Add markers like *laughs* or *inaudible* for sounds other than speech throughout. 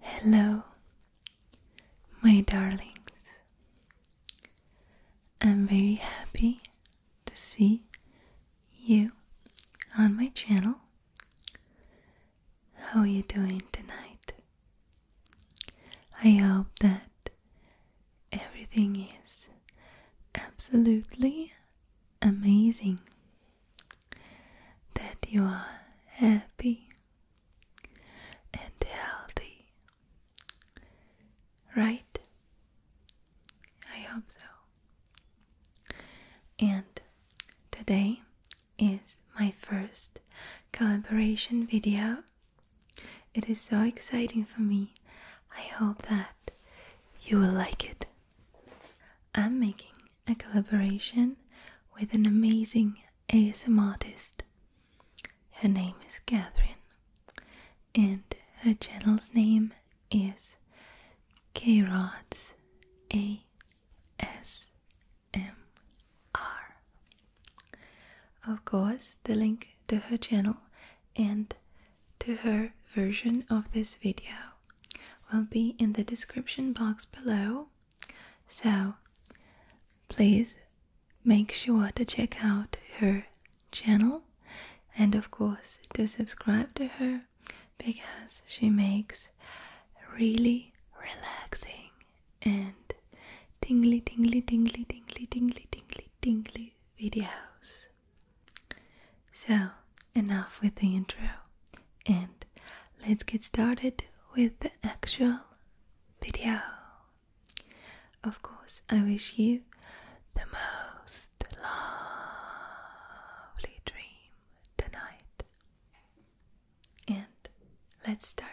Hello, my darlings. I'm very happy to see you on my channel. How are you doing tonight? I hope that everything is absolutely amazing that you are happy and healthy, right? I hope so. And today is my first collaboration video. It is so exciting for me I hope that you will like it. I'm making a collaboration with an amazing ASM artist. Her name is Catherine, and her channel's name is Krods A S M R. Of course, the link to her channel and to her version of this video will be in the description box below. So please make sure to check out her channel and, of course, to subscribe to her because she makes really relaxing and dingly dingly dingly dingly dingly dingly dingly videos. So, enough with the intro, and let's get started with the actual video. Of course, I wish you the most lovely dream tonight. And let's start.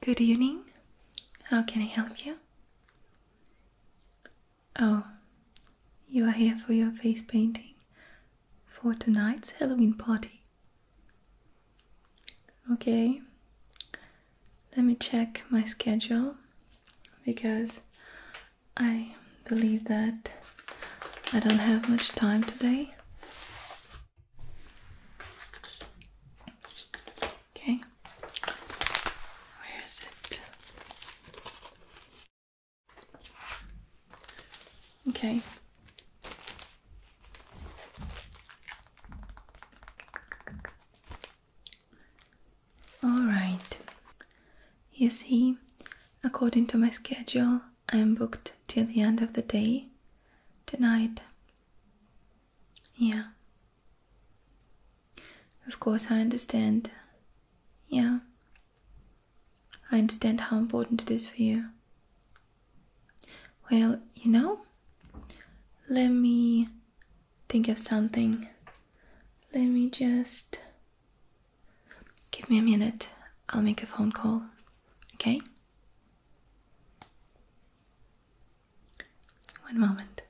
Good evening. How can I help you? Oh, you are here for your face painting for tonight's Halloween party. Okay, let me check my schedule because I believe that I don't have much time today. Okay, where is it? Okay, all right. You see, according to my schedule, I am booked till the end of the day tonight. Yeah. Of course, I understand. Yeah. I understand how important it is for you. Well, you know, let me think of something. Let me just. Give me a minute. I'll make a phone call. Okay? One moment.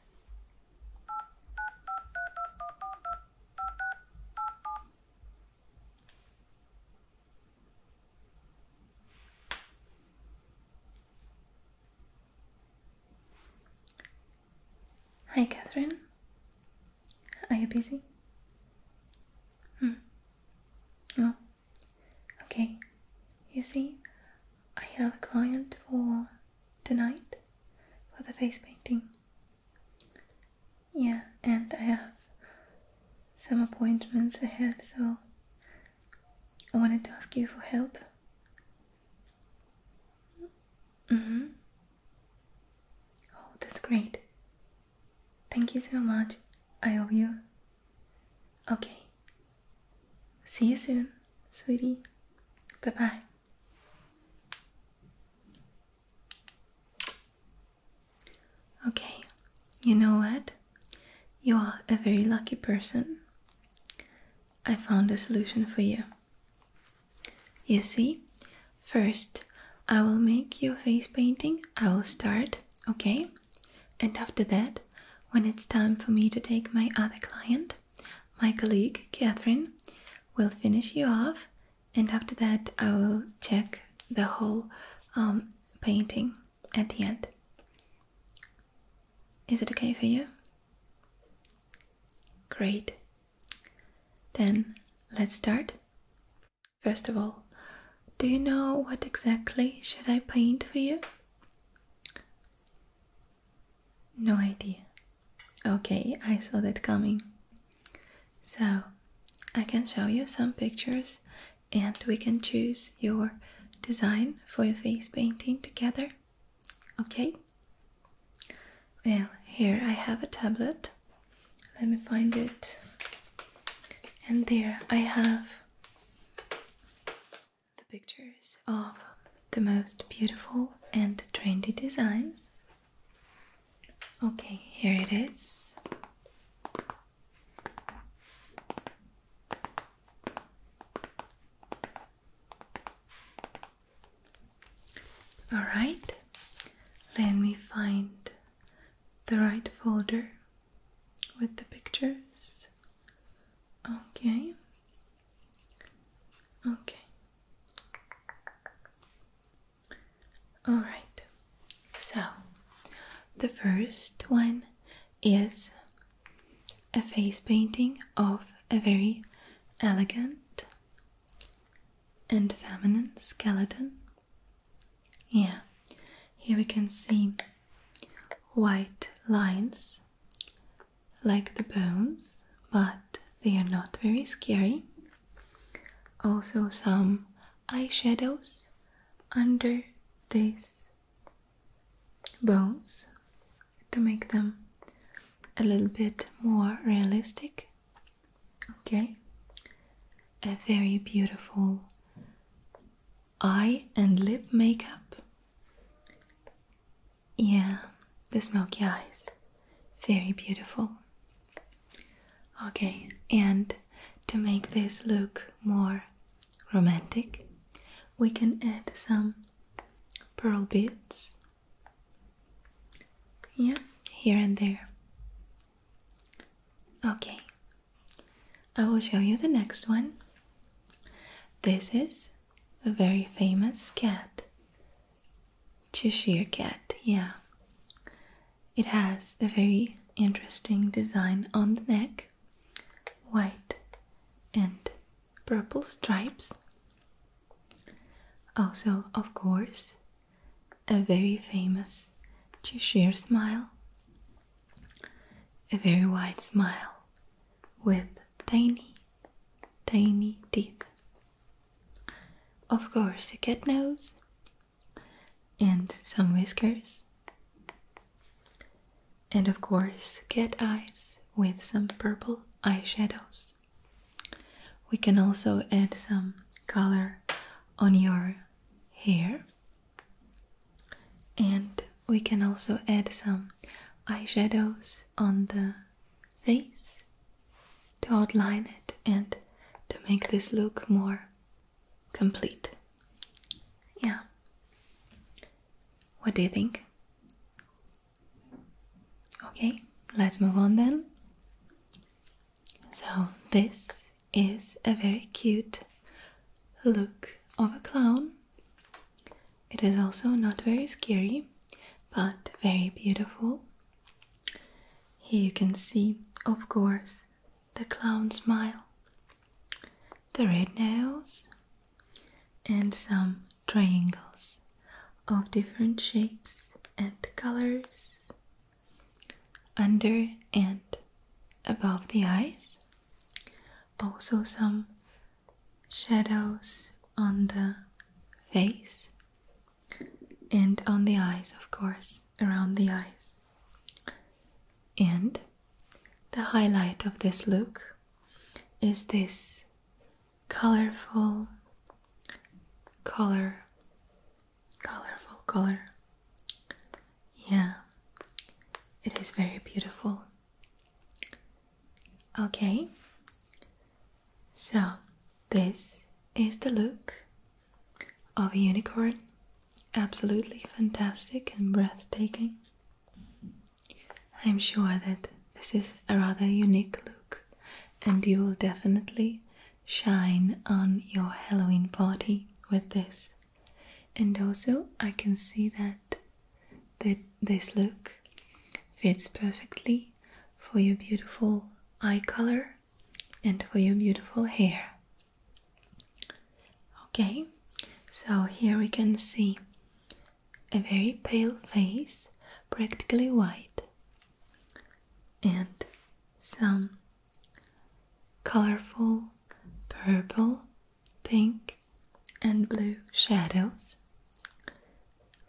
Hi, Catherine. Are you busy? Hmm. Oh, okay. You see, I have a client for tonight for the face painting. Yeah, and I have some appointments ahead, so I wanted to ask you for help. Mm-hmm. Oh, that's great. Thank you so much. I owe you. Okay. See you soon, sweetie. Bye bye. Okay, you know what? You are a very lucky person. I found a solution for you. You see, first I will make your face painting. I will start, okay? And after that, when it's time for me to take my other client, my colleague Catherine will finish you off, and after that, I will check the whole um, painting at the end. Is it okay for you? Great. Then let's start. First of all, do you know what exactly should I paint for you? No idea. Okay, I saw that coming. So, I can show you some pictures and we can choose your design for your face painting together. Okay? Well, here I have a tablet. Let me find it. And there I have the pictures of the most beautiful and trendy designs. Okay, here it is. All right, let me find the right folder with the pictures. Okay, okay, all right. So the first one is a face painting of a very elegant and feminine skeleton. Yeah, here we can see white lines like the bones, but they are not very scary. Also, some eyeshadows under this bones to make them a little bit more realistic. Okay, a very beautiful eye and lip makeup. Yeah, the smoky eyes, very beautiful. Okay, and to make this look more romantic, we can add some pearl beads. Yeah, here and there. Okay, I will show you the next one. This is a very famous cat. Cheshire cat, yeah. It has a very interesting design on the neck white, and purple stripes. Also, of course, a very famous Cheshire smile, a very wide smile with tiny, tiny teeth. Of course, a cat nose and some whiskers and of course, get eyes with some purple eyeshadows. We can also add some color on your hair. And we can also add some eyeshadows on the face to outline it and to make this look more complete. Yeah. What do you think? Okay, let's move on then. So, this is a very cute look of a clown. It is also not very scary, but very beautiful. Here you can see, of course, the clown smile, the red nose, and some triangles of different shapes and colors under and above the eyes. Also, some shadows on the face and on the eyes, of course, around the eyes. And the highlight of this look is this colorful color, colorful color. Yeah, it is very beautiful. Okay, so this is the look of a unicorn absolutely fantastic and breathtaking. I'm sure that this is a rather unique look, and you will definitely shine on your Halloween party with this. And also, I can see that that this look fits perfectly for your beautiful eye color and for your beautiful hair. Okay, so here we can see a very pale face, practically white, and some colorful purple, pink, and blue shadows.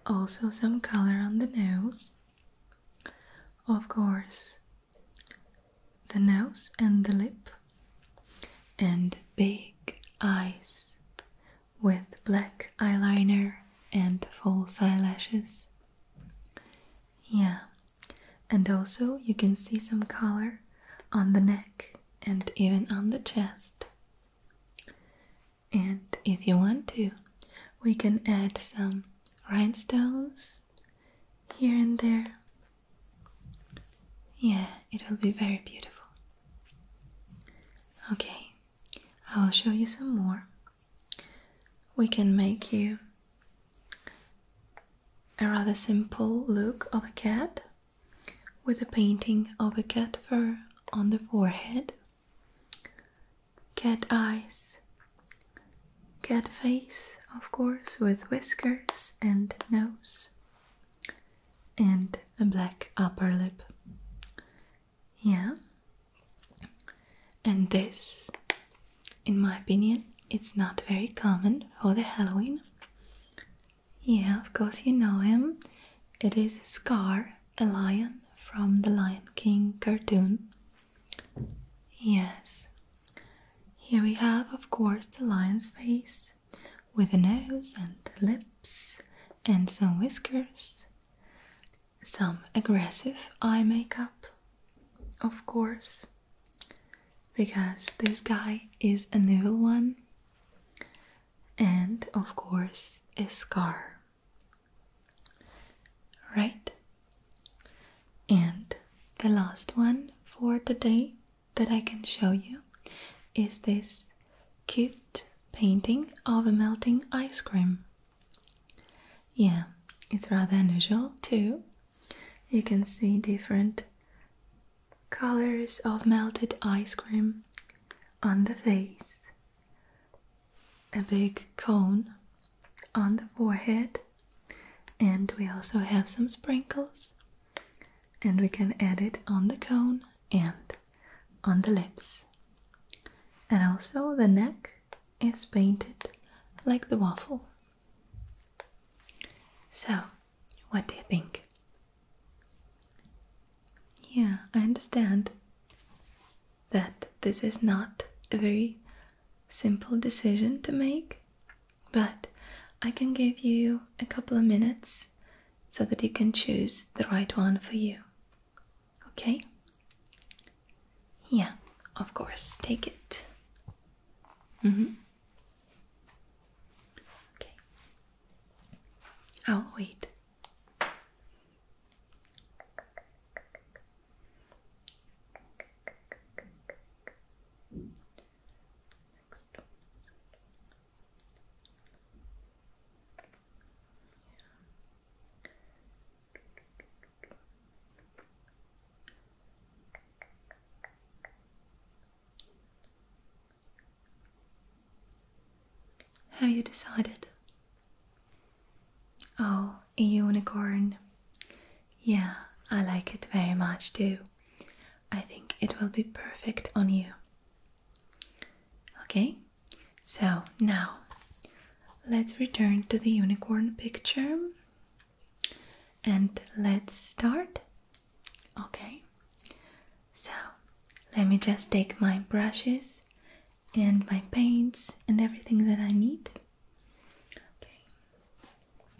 Also, some color on the nose. Of course, the nose and the lip, and big eyes with black eyeliner and false eyelashes. Yeah, and also you can see some color on the neck and even on the chest. And if you want to, we can add some rhinestones here and there yeah, it will be very beautiful. Okay, I will show you some more. We can make you a rather simple look of a cat with a painting of a cat fur on the forehead, cat eyes, cat face, of course, with whiskers and nose, and a black upper lip. Yeah. And this, in my opinion, it's not very common for the Halloween. Yeah, of course you know him. It is Scar, a lion from the Lion King cartoon. Yes. Here we have, of course, the lion's face with a nose and lips, and some whiskers, some aggressive eye makeup, of course, because this guy is a new one, and of course, a scar. Right? And the last one for the day that I can show you is this cute painting of a melting ice cream. Yeah, it's rather unusual too. You can see different colors of melted ice cream on the face, a big cone on the forehead, and we also have some sprinkles and we can add it on the cone and on the lips. And also the neck is painted like the waffle. So, what do you think? Yeah, I understand that this is not a very simple decision to make, but I can give you a couple of minutes so that you can choose the right one for you. Okay? Yeah, of course, take it. Mm hmm. Okay. I'll oh, wait. Have you decided? Oh, a unicorn. Yeah, I like it very much too. I think it will be perfect on you. Okay, so now let's return to the unicorn picture and let's start. Okay, so let me just take my brushes and my paints and everything that I need. Okay.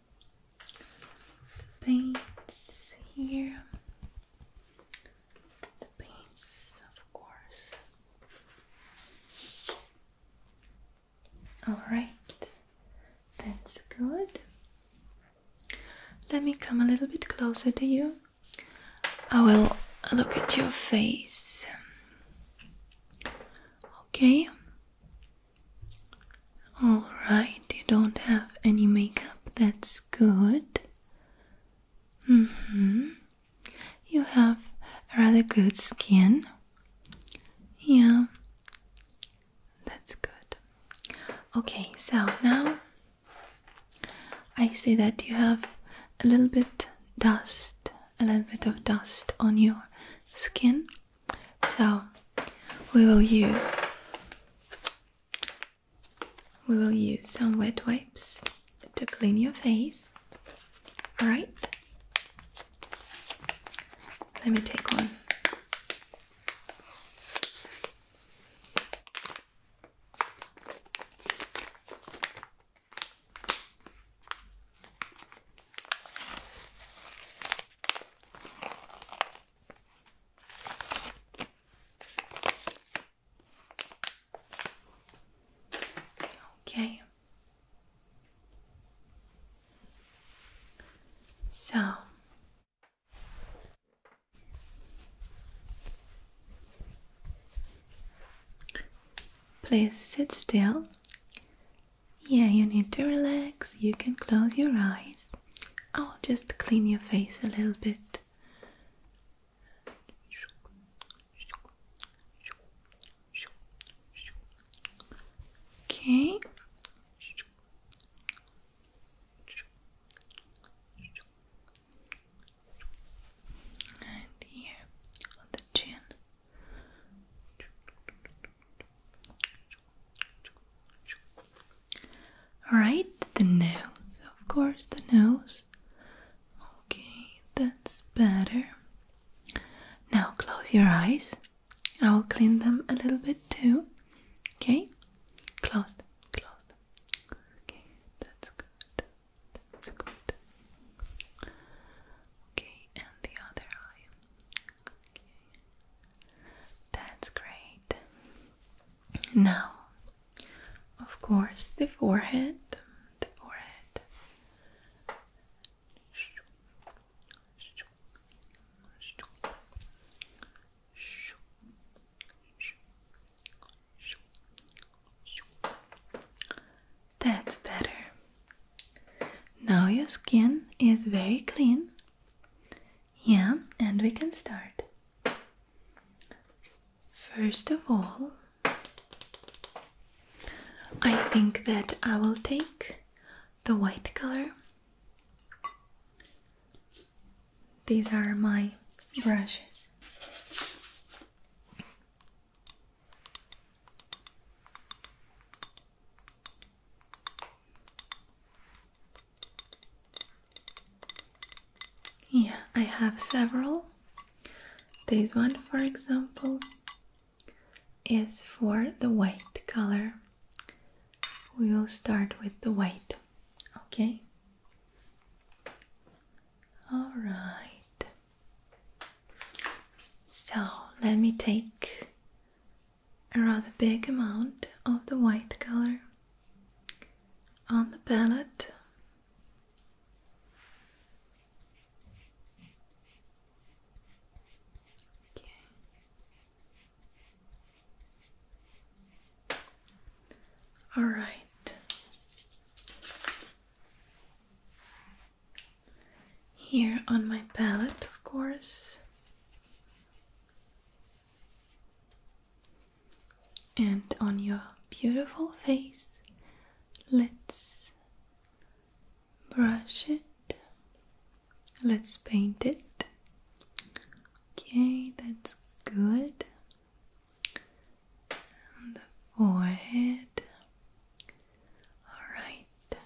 paints here. The paints, of course. Alright, that's good. Let me come a little bit closer to you. I will look at your face. Okay, Alright, you don't have any makeup, that's good. hmm. You have rather good skin. Yeah, that's good. Okay, so now I see that you have a little bit dust, a little bit of dust on your skin. So we will use we will use some wet wipes to clean your face. Alright? Let me take one. Okay. So please sit still yeah, you need to relax. You can close your eyes. I'll oh, just clean your face a little bit. Okay. And here on the chin. Right, the nose, of course, the nose. Okay, that's better. Now close your eyes. I will clean them a little bit too. Okay, closed, closed. Okay, that's good. That's good. Okay, and the other eye. Okay. That's great. Now, of course, the forehead, the forehead. That's better. Now your skin is very clean. Yeah, and we can start. First of all, I think that I will take the white color. These are my brushes. Yeah, I have several. This one, for example, is for the white color. We will start with the white, okay? All right. So let me take a rather big amount of the white color on the palette. Okay. All right. Here on my palette, of course, and on your beautiful face, let's brush it, let's paint it. Okay, that's good. the forehead, all right.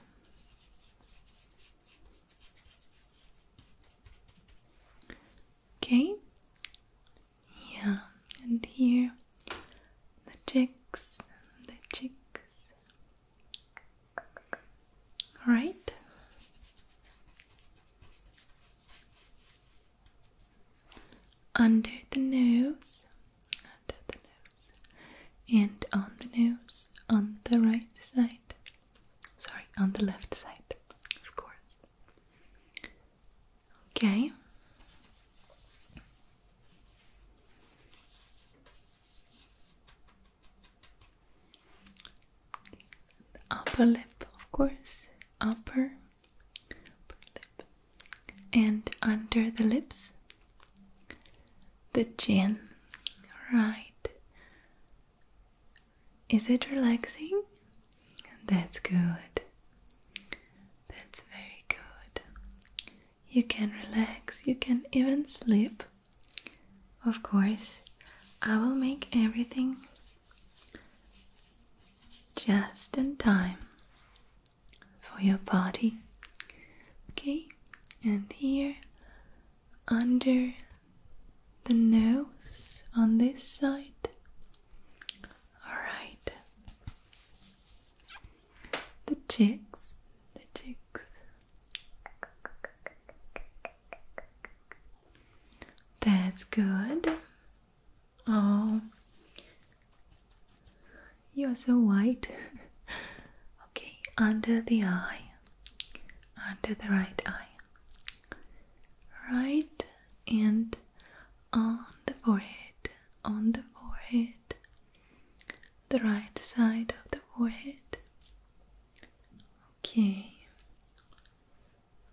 Okay. Yeah, and here the cheeks, the cheeks. All right. Under the nose, under the nose, and on the nose on the right side. Sorry, on the left side, of course. Okay. The upper lip, of course. Upper, upper lip. And under the lips, the chin. Right. Is it relaxing? That's good. That's very good. You can relax, you can even sleep. Of course, I will make everything just in time for your party. Okay, and here under the nose on this side. All right. The cheeks, the cheeks. That's good. Oh, you're so white. *laughs* okay, under the eye under the right eye, right and on the forehead, on the forehead, the right side of the forehead. Okay,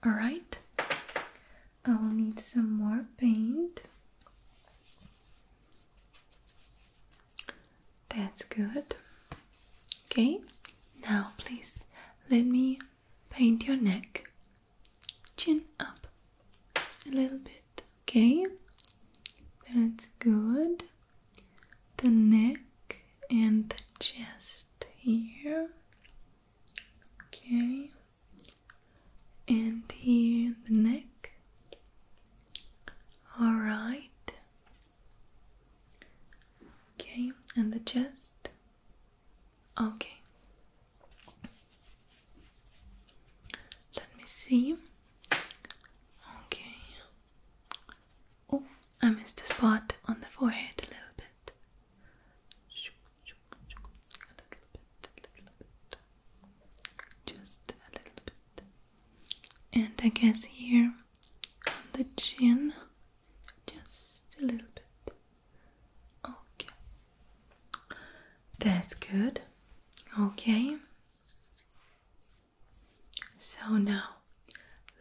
all right, I will need some more paint. That's good. Okay, now please let me paint your neck. Chin up a little bit, okay? That's good. The neck and the chest here. Okay, and here the neck. All right, Okay, and the chest. Okay. Let me see. Okay. Oh, I missed a spot on the forehead a little bit. Just a little bit and I guess here on the chin, just a little bit. Okay, that's good. Okay, so now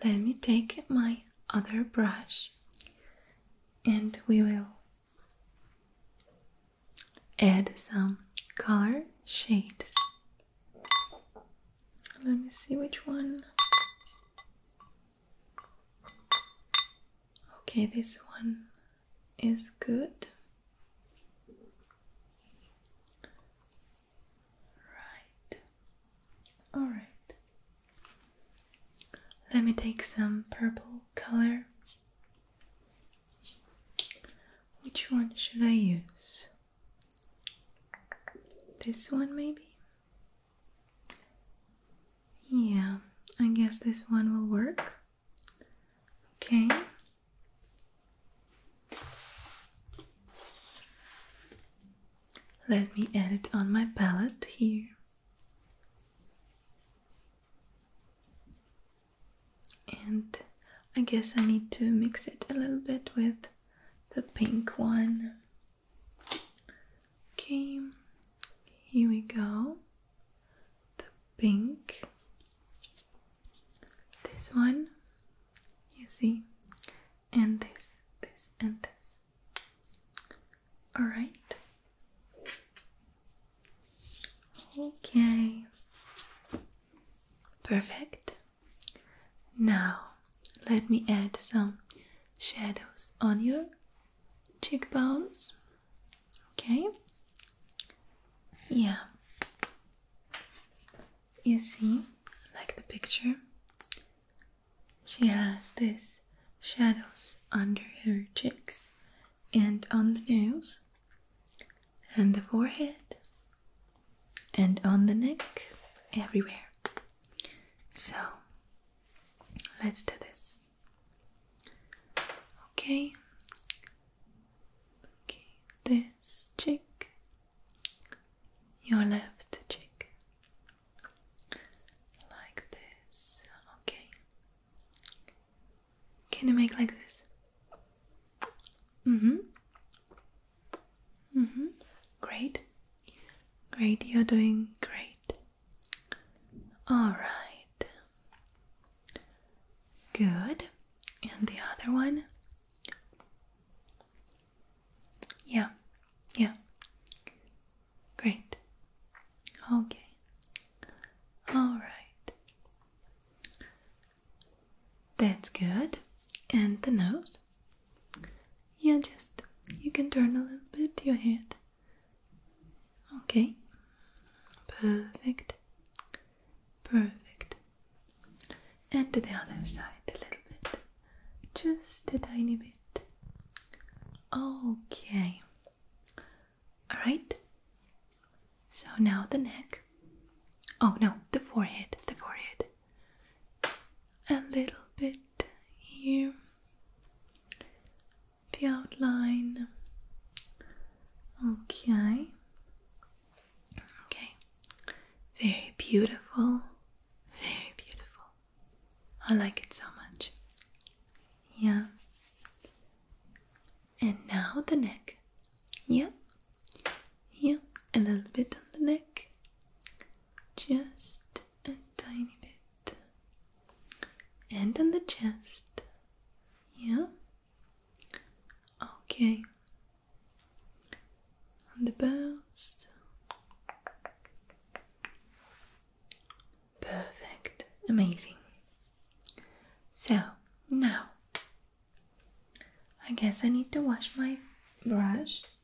let me take my other brush and we will add some color shades. Let me see which one. Okay, this one is good. Right. All right. Let me take some purple color. Which one should I use? This one, maybe? Yeah, I guess this one will work. Okay. Let me add it on my palette here. And I guess I need to mix it a little bit with the pink one. Okay, here we go. The pink. This one, you see, and this, this, and this. Alright. Okay. Perfect. Now, let me add some shadows on your cheekbones. Okay? Yeah. You see, like the picture, she has this shadows under her cheeks and on the nose and the forehead and on the neck, everywhere. So let's do this. Okay. Okay, this cheek, your left cheek, like this. Okay. Can you make like this? Mm hmm. Mm -hmm. Great. Great, you're doing great. All right. Good. And the other one? Yeah, yeah. Great. Okay. All right. That's good. And the nose? Yeah, just you can turn a little bit your head. Okay. Perfect. Perfect. And to the other side a little bit. Just a tiny bit. Okay. Alright. So now the neck. Oh no, the forehead, the forehead a little bit here, the outline. Okay, okay, very beautiful, very beautiful. I like it so much. Yeah, and now the neck. Yeah, yeah, a little bit on the neck just a tiny bit, and on the chest, yeah, okay, on the bust. perfect, amazing. So now, I guess I need to wash my brush.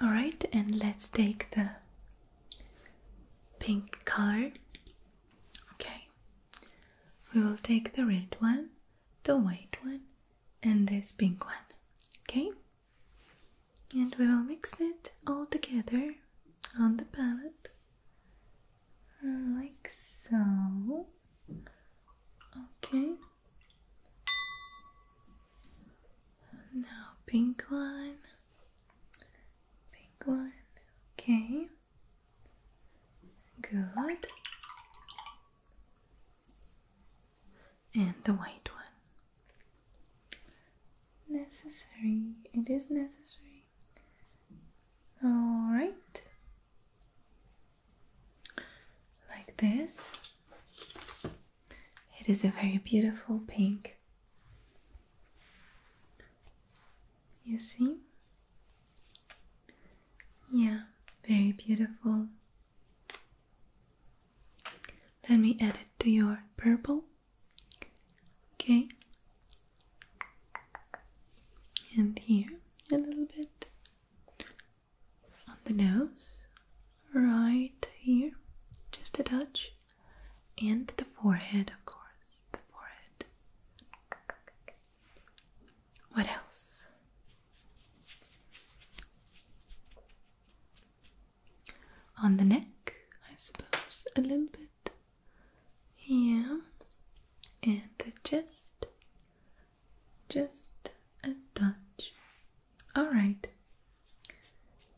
All right, and let's take the pink color. Okay, we will take the red one, the white one, and this pink one. Okay, and we will mix it all together on the palette like so. Okay now pink one, pink one, okay, good, and the white one. Necessary, it is necessary. All right like this. It is a very beautiful pink. You see? Yeah, very beautiful. Let me add it to your purple. Okay. And here a little bit on the nose, right here, just a touch, and the forehead, of course, the forehead. What else? On the neck, I suppose, a little bit. here, and the chest, just a touch. All right,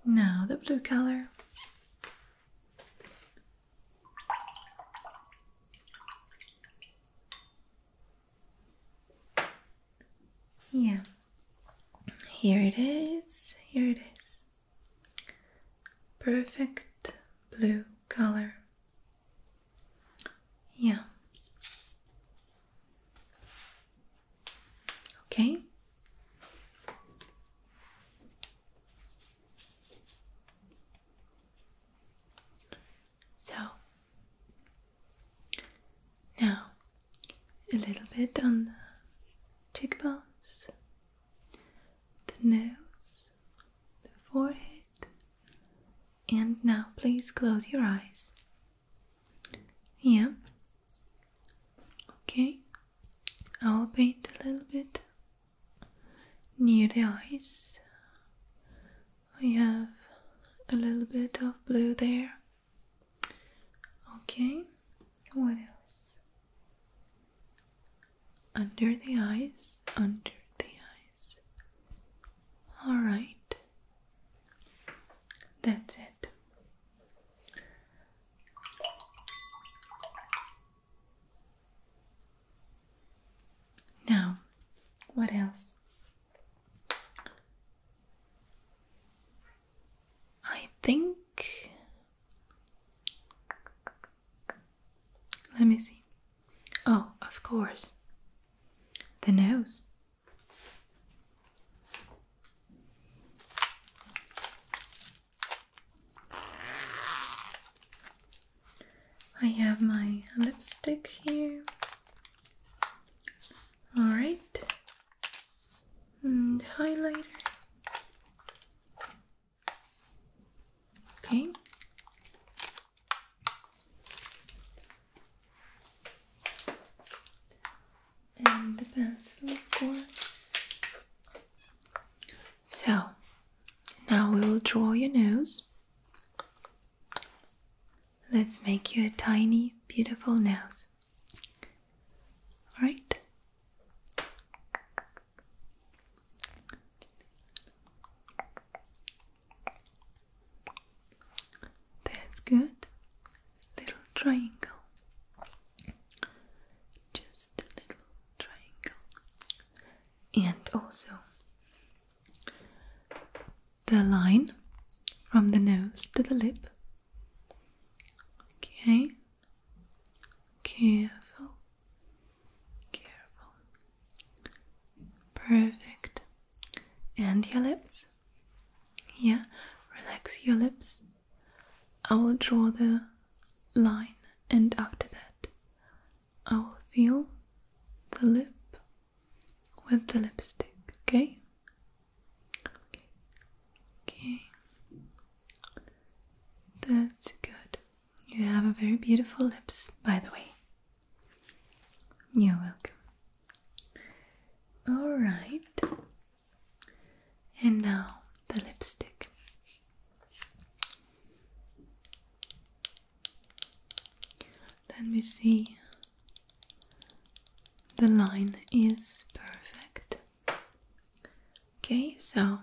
now the blue color. Yeah, here it is, here it is. Perfect blue color. Yeah, Okay. So now a little bit on the cheekbones, the nose, the forehead, and now please close your eyes yeah. Okay. I'll paint a little bit near the eyes. We have a little bit of blue there. Okay. What else? Under the eyes, under the eyes. All right. That's it. Now, what else? I think. Let me see. Oh, of course. The nose. I have my lipstick here. All right, and mm, highlighter. Okay, and the pencil, of course. So now we will draw your nose. Let's make you a tiny, beautiful nose. All right. That's good. Little triangle. Just a little triangle. And also the line from the nose to the lip. Okay. Careful. Careful. Perfect. And your lips. Yeah, relax your lips. I will draw the line, and after that, I will feel the lip with the lipstick. Okay? Okay. Okay. That's good. You have a very beautiful lips, by the way. You're welcome. Alright, and now the lipstick. Let me see. The line is perfect. Okay, so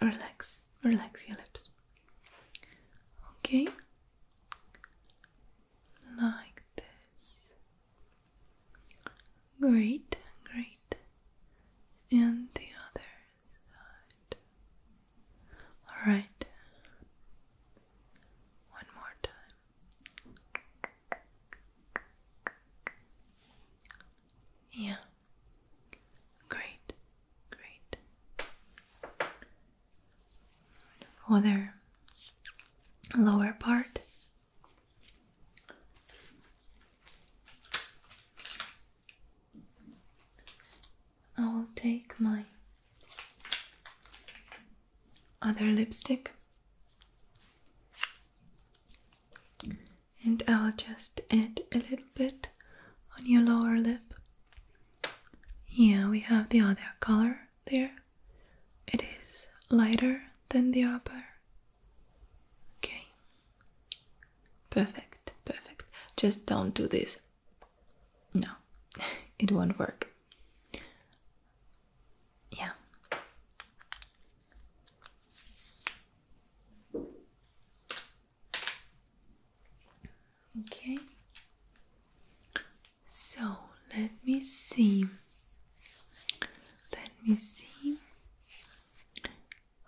relax, relax your lips. Okay, like this. Great, great. And the other side. Alright. One more time. Yeah. Great, great. Other lower part. I will take my other lipstick and I'll just add a little bit on your lower lip. Here we have the other color there it is lighter than the upper. Okay. Perfect, perfect. Just don't do this. No, *laughs* it won't work. Yeah. Okay. So let me see. Let me see.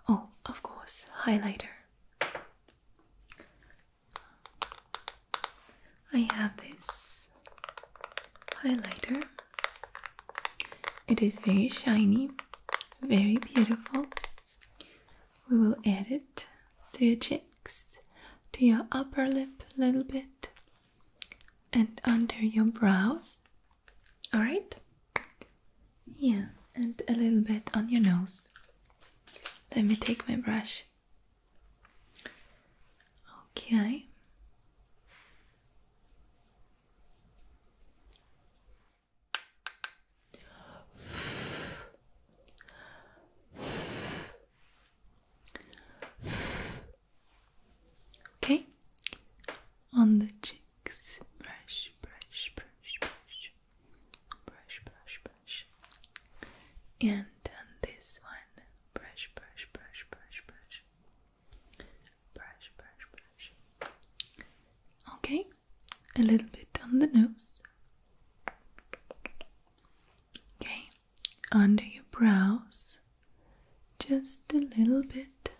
Oh, of course, highlighter. I have this highlighter. It is very shiny, very beautiful. We will add it to your cheeks, to your upper lip a little bit, and under your brows. Alright? Yeah, and a little bit on your nose. Let me take my brush. Okay. Okay? On the cheeks. Brush, brush, brush, brush. Brush, brush, brush. And on this one. Brush, brush, brush, brush, brush. Brush, brush, brush. Okay? A little bit on the nose. Okay under your brows just a little bit.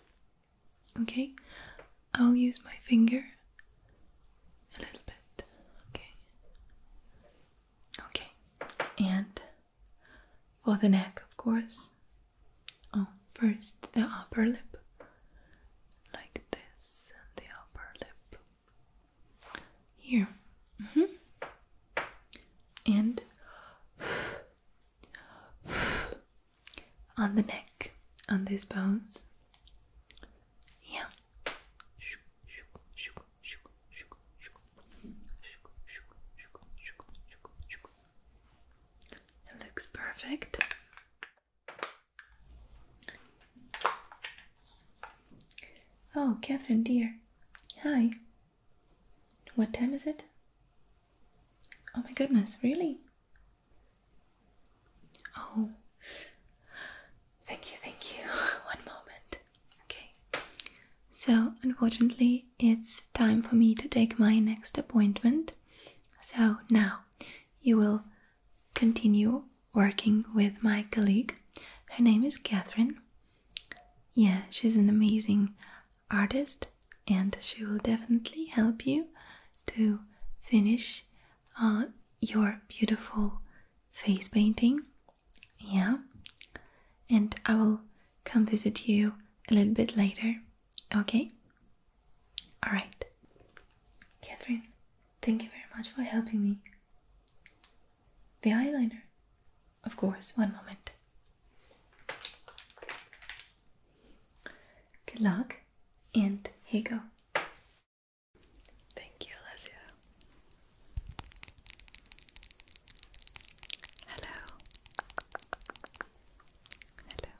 Okay, I'll use my finger a little bit. Okay, okay, and for the neck, of course. Oh, first the upper lip, like this, the upper lip here. Mm -hmm and on the neck, on these bones. Yeah. It looks perfect. Oh, Catherine, dear. Hi. What time is it? Oh my goodness, really? Oh, thank you, thank you. *laughs* One moment. Okay. So, unfortunately, it's time for me to take my next appointment. So, now you will continue working with my colleague. Her name is Catherine. Yeah, she's an amazing artist, and she will definitely help you to finish uh, your beautiful face painting. Yeah, and I will come visit you a little bit later. Okay? Alright. Catherine, thank you very much for helping me the eyeliner. Of course, one moment. Good luck, and here you go. Thank you, Alessia. Hello. Hello.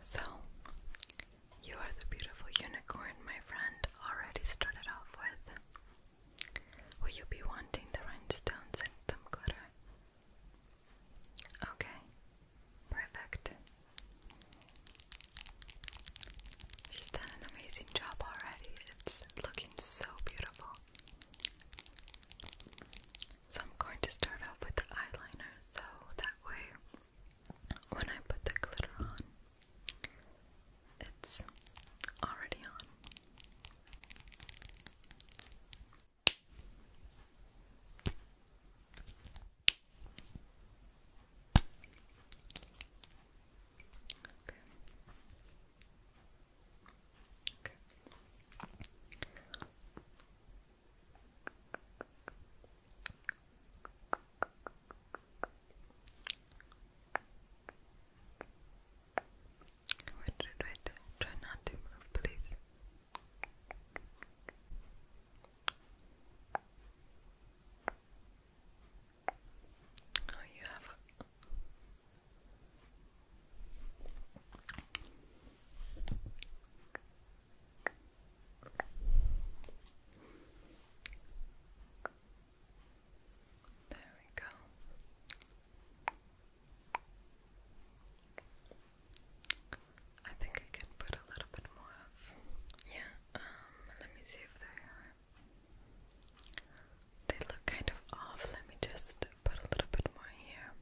So, you are the beautiful unicorn my friend already started off with. Will you be wanting the rhinestones and some glitter? Okay, perfect. She's done an amazing job already. It's looking so beautiful. So, I'm going to start off with the eyeliner so that way when I put the glitter on, it's already on. Okay. Okay. Okay. Wait, Try not to move, please. Oh, you have there we go. I think I can put a little bit more of. Yeah, um, let me see if they are. They look kind of off. Let me just put a little bit more here.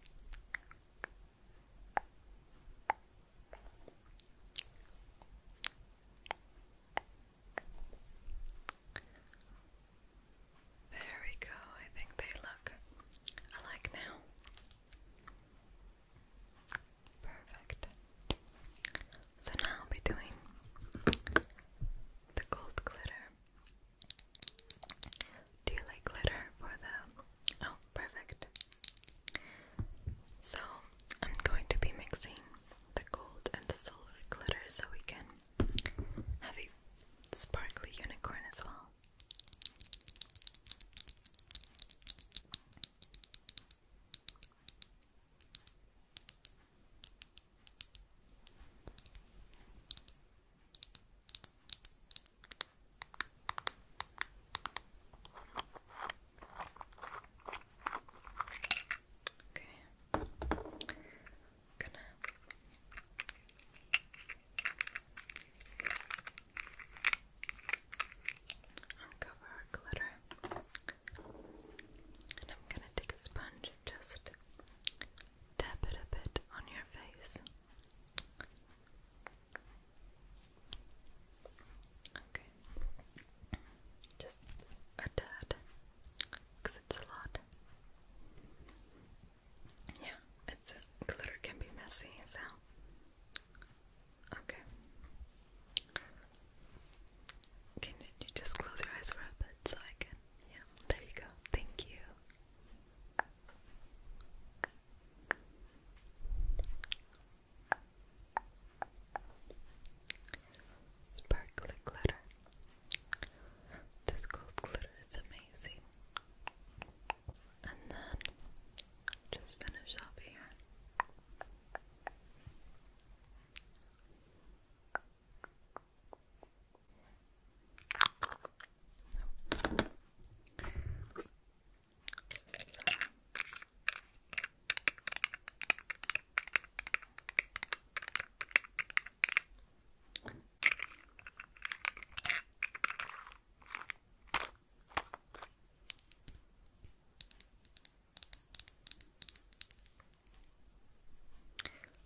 There we go. I think they look alike now. Perfect. So now I'll be doing the gold glitter. Do you like glitter for the. Oh, perfect. So I'm going to be mixing the gold and the silver glitter so we can have a sparkly unicorn as well. Okay. Gonna uncover our glitter, and I'm gonna take a sponge and just tap it a bit on your face. Okay, just a tad because it's a lot. Yeah, it's glitter can be messy, so okay. Can you just close your eyes for a bit so I can? Yeah, there you go. Thank you. Sparkly glitter. This gold glitter is amazing. And then just finish up here.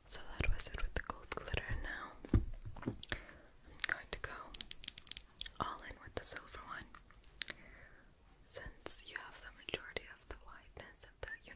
So that was it with the gold glitter. Now I'm going to go all in with the silver one since you have the majority of the whiteness of the, you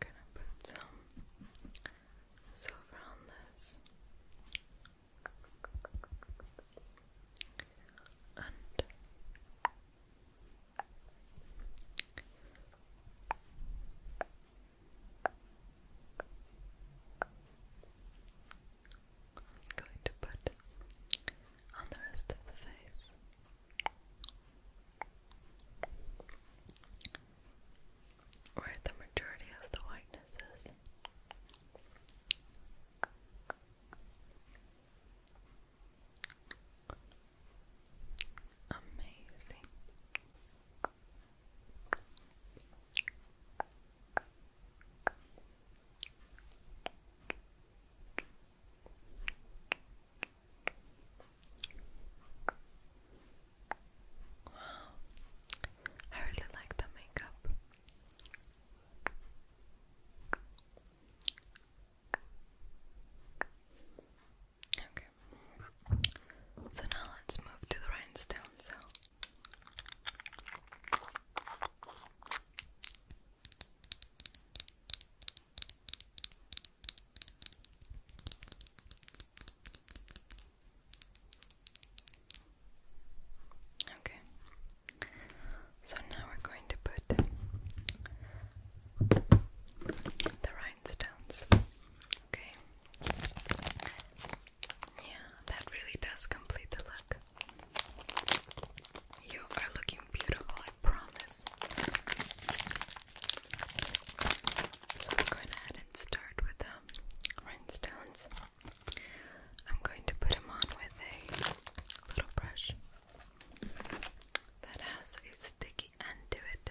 I'm gonna put some silver on this and I'm going to put on the rest of the face where the majority of the whiteness is. Amazing. I really like the makeup. Okay, so now let's move to the rhinestone cell. Okay, so now we're going to put the rhinestones. Okay, yeah, that really does complete the look. You are looking beautiful I promise. So I'm going ahead and start with the um, rhinestones. I'm going to put them on with a little brush that has a sticky end to it.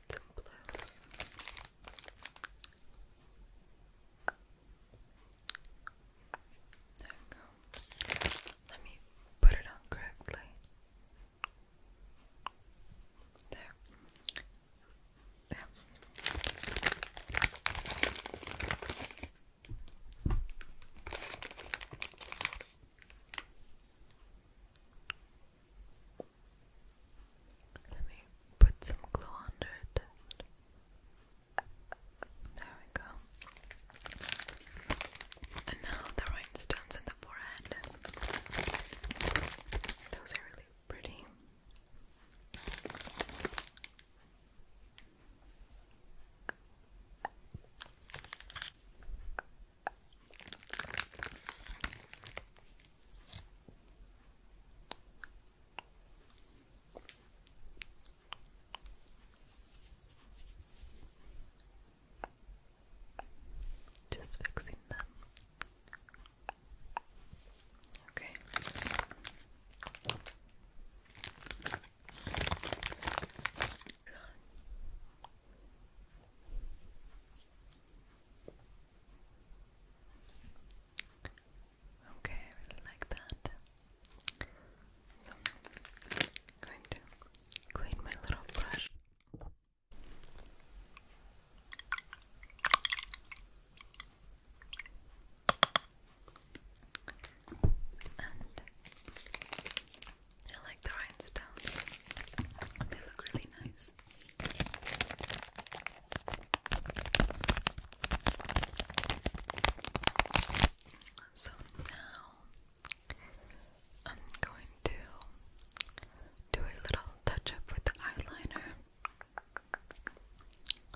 get some There we go. Let me put it on correctly. There. There. Let me put some glue under it. There we go. And now the rhinestones in the forehead. Those are really pretty. Just fixing them. Okay. Okay, I really like that. So, going to clean my little brush. And I like the rhinestones they look really nice. So now I'm going to do a little touch up with the eyeliner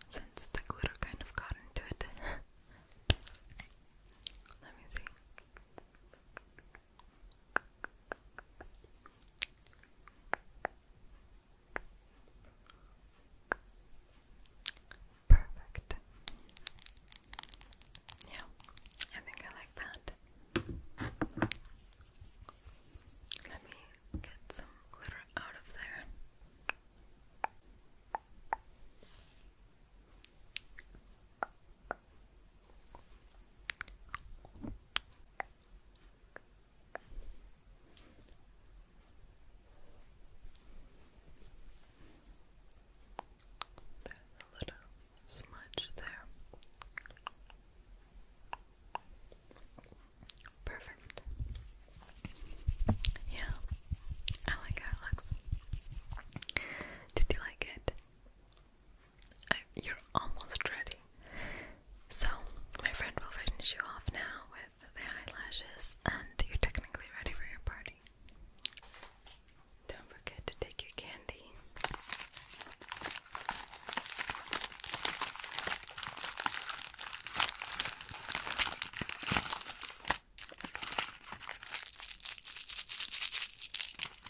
since the glitter kind of got into it. *laughs* Let me see. Perfect. Yeah, I think I like that. Let me get some glitter out of there. Okay. There's a little smudge there. Perfect. Yeah, I like how it looks. Did you like it? you're almost ready. So, my friend will finish you off now with the eyelashes, and you're technically ready for your party. Don't forget to take your candy.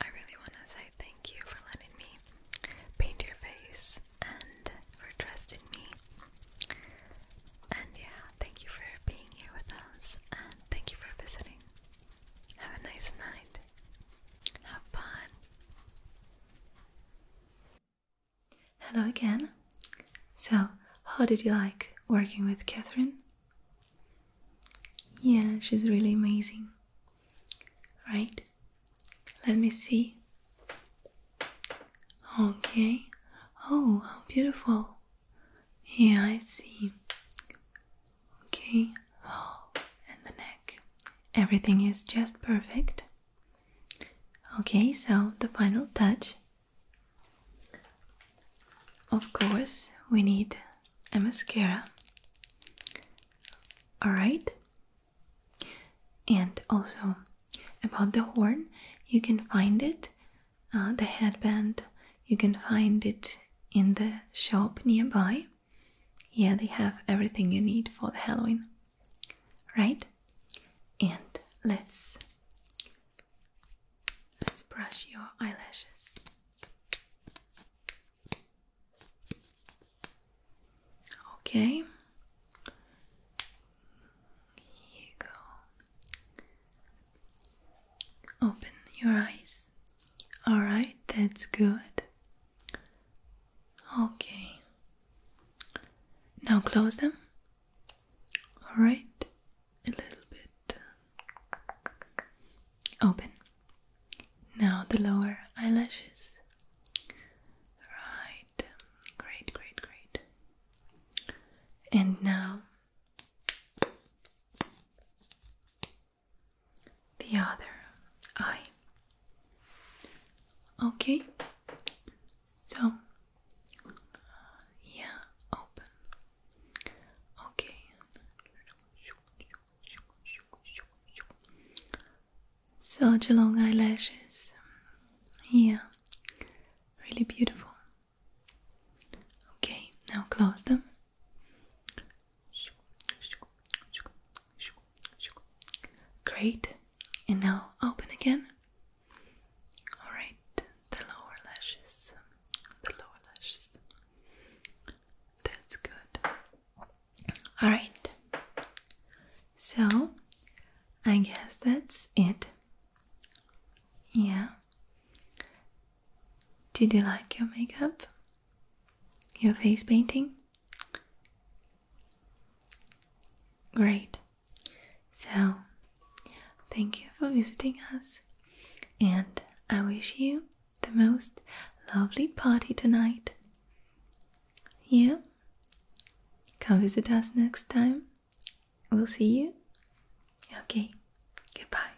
I really want to say thank you for letting me paint your face and for trusting me. And yeah, thank you for being here with us and thank you for visiting. Have a nice night. Have fun. Hello again. So, how did you like working with Catherine? Yeah, she's really amazing. Right? Let me see. Okay. Oh, how beautiful. Yeah, I see. Okay. Oh, *gasps* and the neck. Everything is just perfect. Okay, so the final touch of course, we need a mascara. Alright? And also about the horn, you can find it, uh, the headband, you can find it in the shop nearby. Yeah, they have everything you need for the Halloween. Right? And let's Let's brush your eyelashes. Okay. Here you go. Open your eyes. All right, that's good. Okay. Now close them. All right a little bit uh, open. Now the lower eyelashes. Right, great, great, great. And now the other eye. Okay, so yeah, open, Okay. Such long eyelashes. Yeah. Really beautiful. Okay, now close them. Great. And now open again. Alright, the lower lashes. The lower lashes. That's good. Alright, so I guess that's it. Yeah. Did you like your makeup? Your face painting? Great. So, thank you for visiting us. And I wish you the most lovely party tonight. Yeah? Come visit us next time. We'll see you. Okay, goodbye.